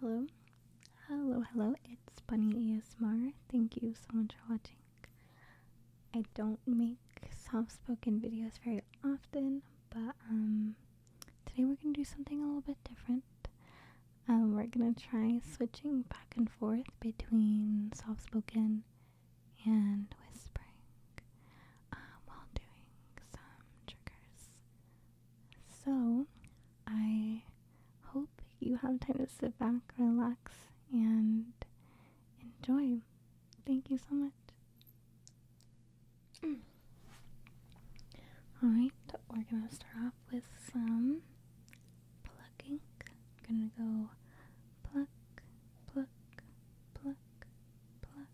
Hello, hello, hello, it's Bunny ASMR. Thank you so much for watching. I don't make soft spoken videos very often, but um, today we're gonna do something a little bit different. Um, we're gonna try switching back and forth between soft spoken and whispering um, while doing some triggers. So, I hope you have time to sit back, relax, and enjoy. Thank you so much. Alright, we're gonna start off with some plucking. gonna go pluck, pluck, pluck, pluck,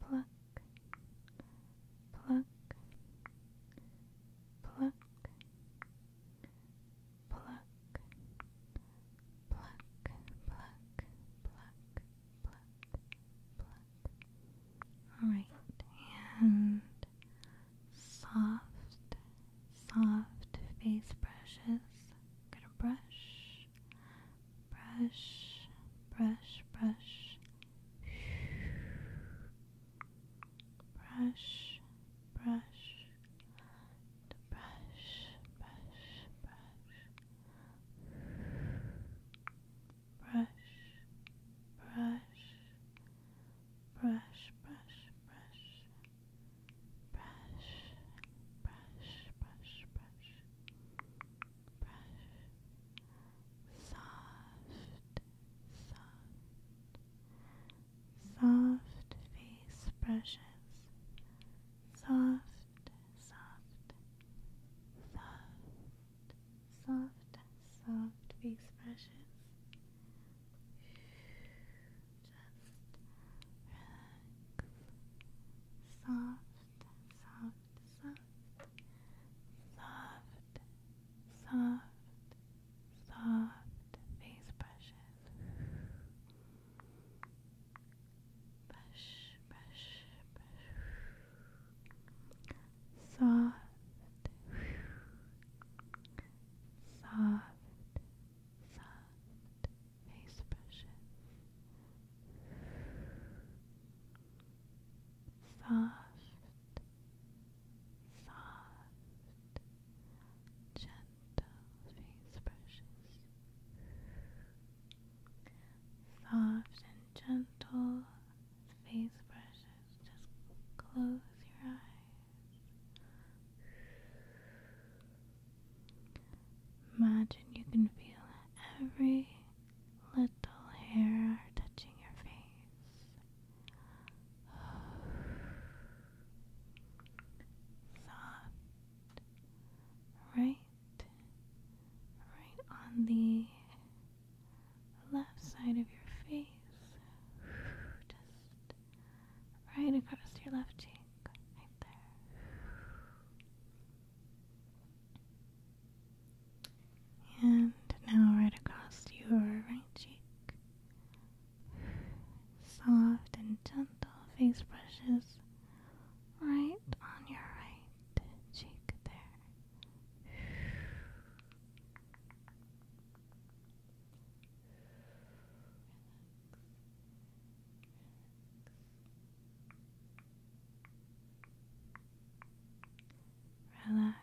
pluck, pluck, pluck, pluck, pluck, pluck, pluck, pluck, pluck, pluck. All right, and soft, soft face brushes. I'm gonna brush brush, brush, brush, brush, brush, the brush, brush, brush, brush, brush, brush, brush, brush brush, brush, brush, brush, brush, soft, soft, soft face brushes, soft, soft, soft. Soft, soft face brushes relax. Soft, soft, soft, soft, soft, soft face brushes. Brush, brush, brush. Soft, soft. Soft, soft face brushes. Soft, soft, gentle face brushes. Soft and gentle face brushes. Just close your eyes. Imagine you can feel every little hair touching your face. Soft. Right. Right on the left side of your face. Just right across your left cheek, right there. And now, right across your right cheek. Soft and gentle face brushes right on your right cheek there relax,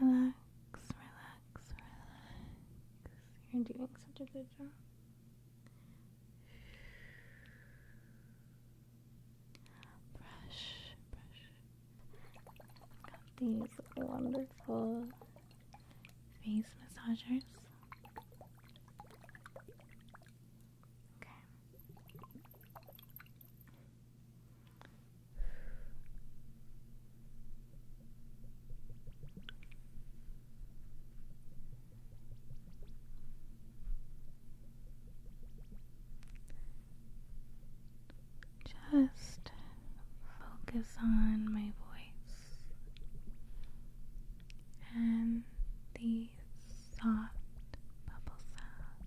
relax, relax, relax, relax. You're doing such a good job. Brush, brush. these wonderful face massagers. Okay. Just focus on my voice and these soft bubble sounds.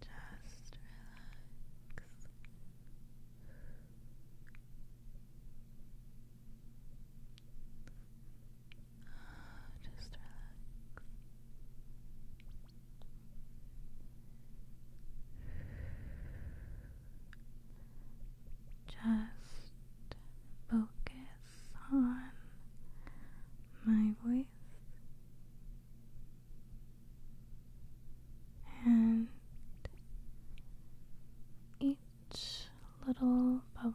Just relax. Just relax. Just focus on my voice and each little bubble.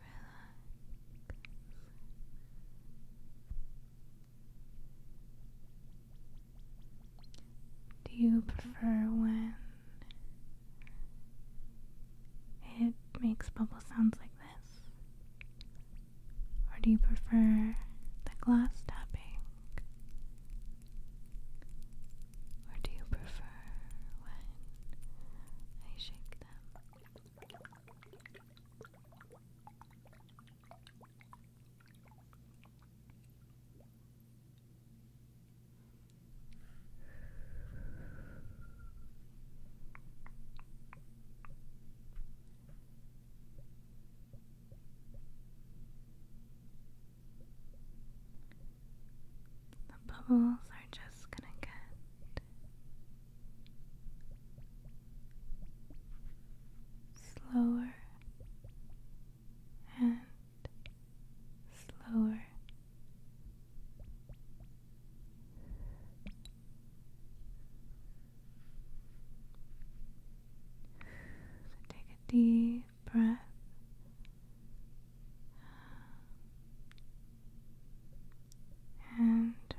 Relax. Do you prefer when it makes bubble sounds like this? Or do you prefer the glass tapping? Or do you prefer when I shake them? The bubbles are just gonna get slower and slower. So take a deep breath. And relax.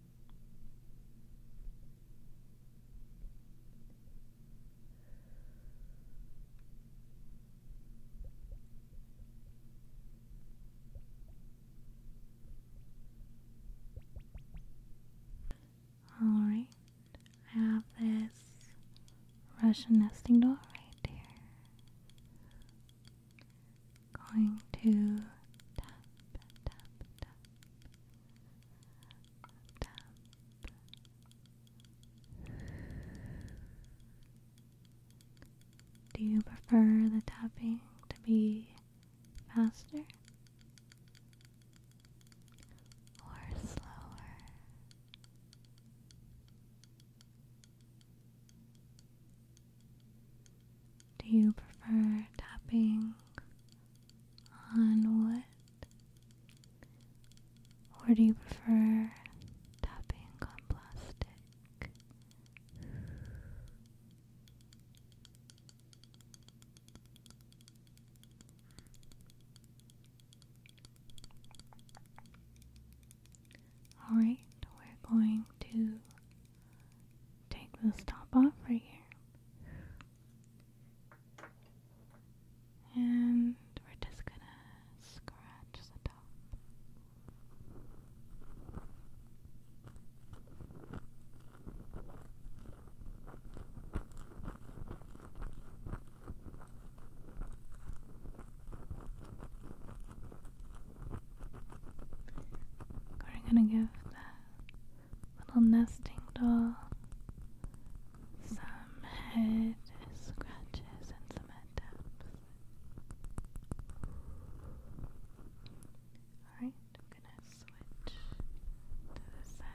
Alright, I have this Russian nesting doll right here going to tap, tap, tap, tap. Do you prefer the tapping to be faster or slower? Do you prefer tapping on wood? Or do you prefer tapping on plastic? Alright, we're going to take the top off right here. And we're just gonna scratch the top. We're gonna give the little nesting doll some head scratches and some head taps. Alright, I'm gonna switch to the side.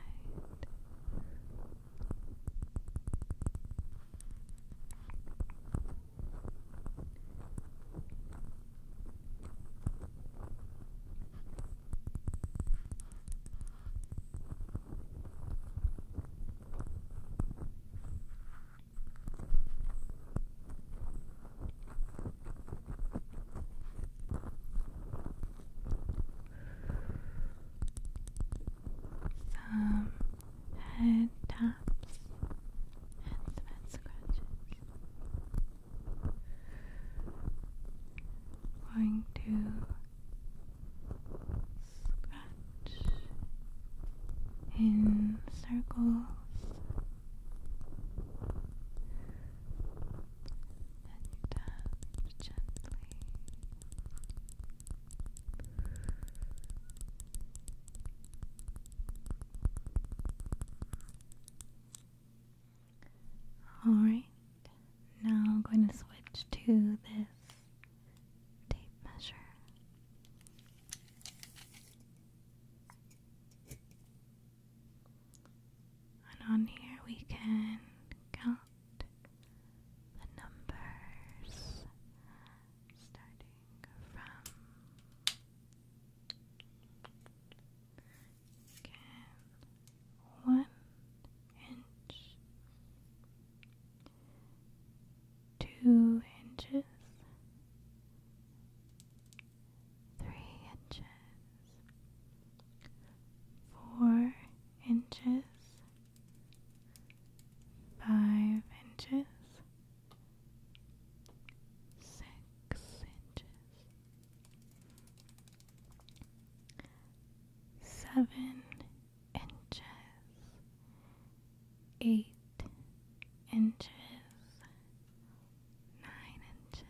Some um, head taps and some head scratches going to scratch in circles and you tap gently. Alright, now I'm going to switch to this tape measure. And on here we can count the numbers starting from Again, one inch, two inches, three inches, four inches, five inches six inches, seven inches, eight inches, nine inches.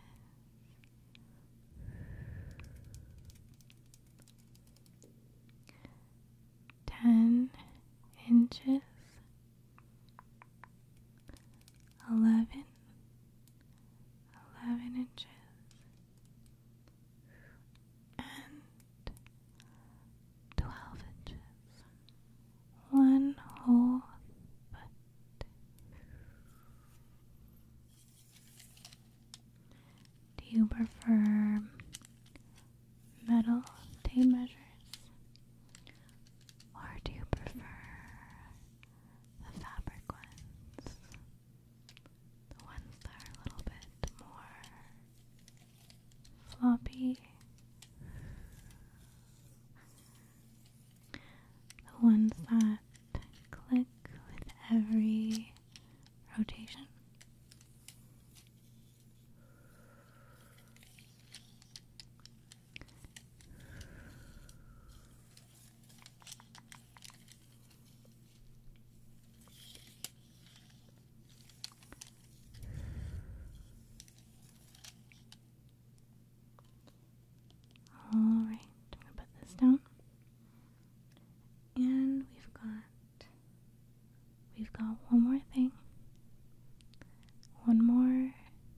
Ten inches, eleven, eleven inches, and twelve inches. One whole foot. Do you prefer metal tape measures? Or do you prefer the fabric ones? The ones that are a little bit more floppy? The ones that click with every rotation? All right, I'm gonna put this down, and we've got we've got one more thing, one more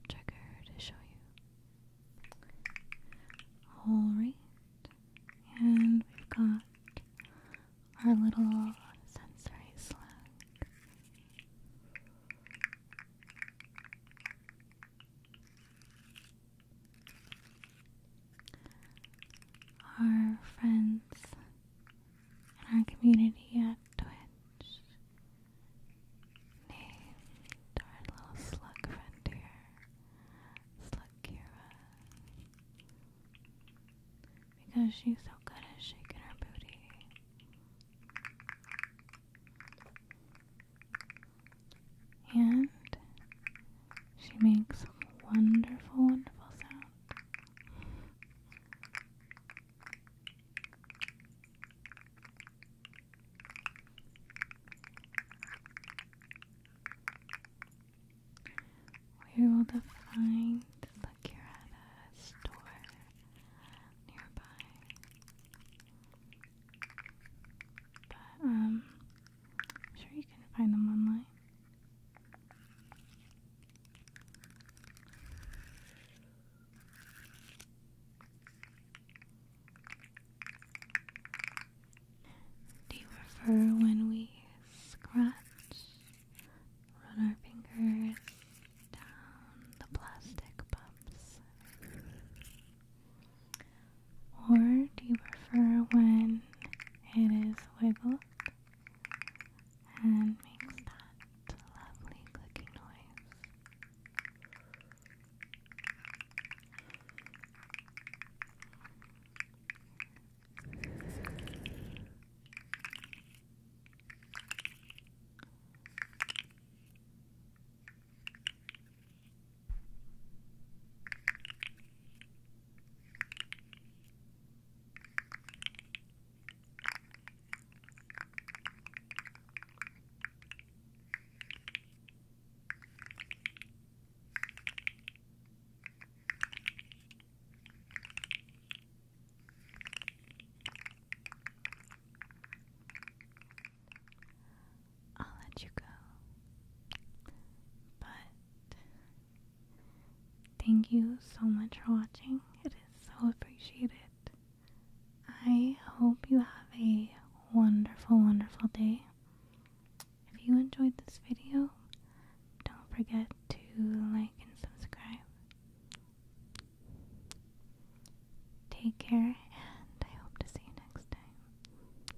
trigger to show you. Alright, and we've got our little sensory slug. Our friends and our community at Twitch named our little slug friend here, Slug because she's so good at shaking her booty. And she makes wonderful, wonderful sound. We will define the here store nearby. But um sure you can find them online. Do you prefer when we scratch, run our fingers down the plastic bumps? Or do you prefer when it is wiggled and makes that lovely clicking noise. I'll let you go, but Thank you so much for watching. It is so appreciated. I hope you have a wonderful, wonderful day. If you enjoyed this video, don't forget to like and subscribe. Take care, and I hope to see you next time.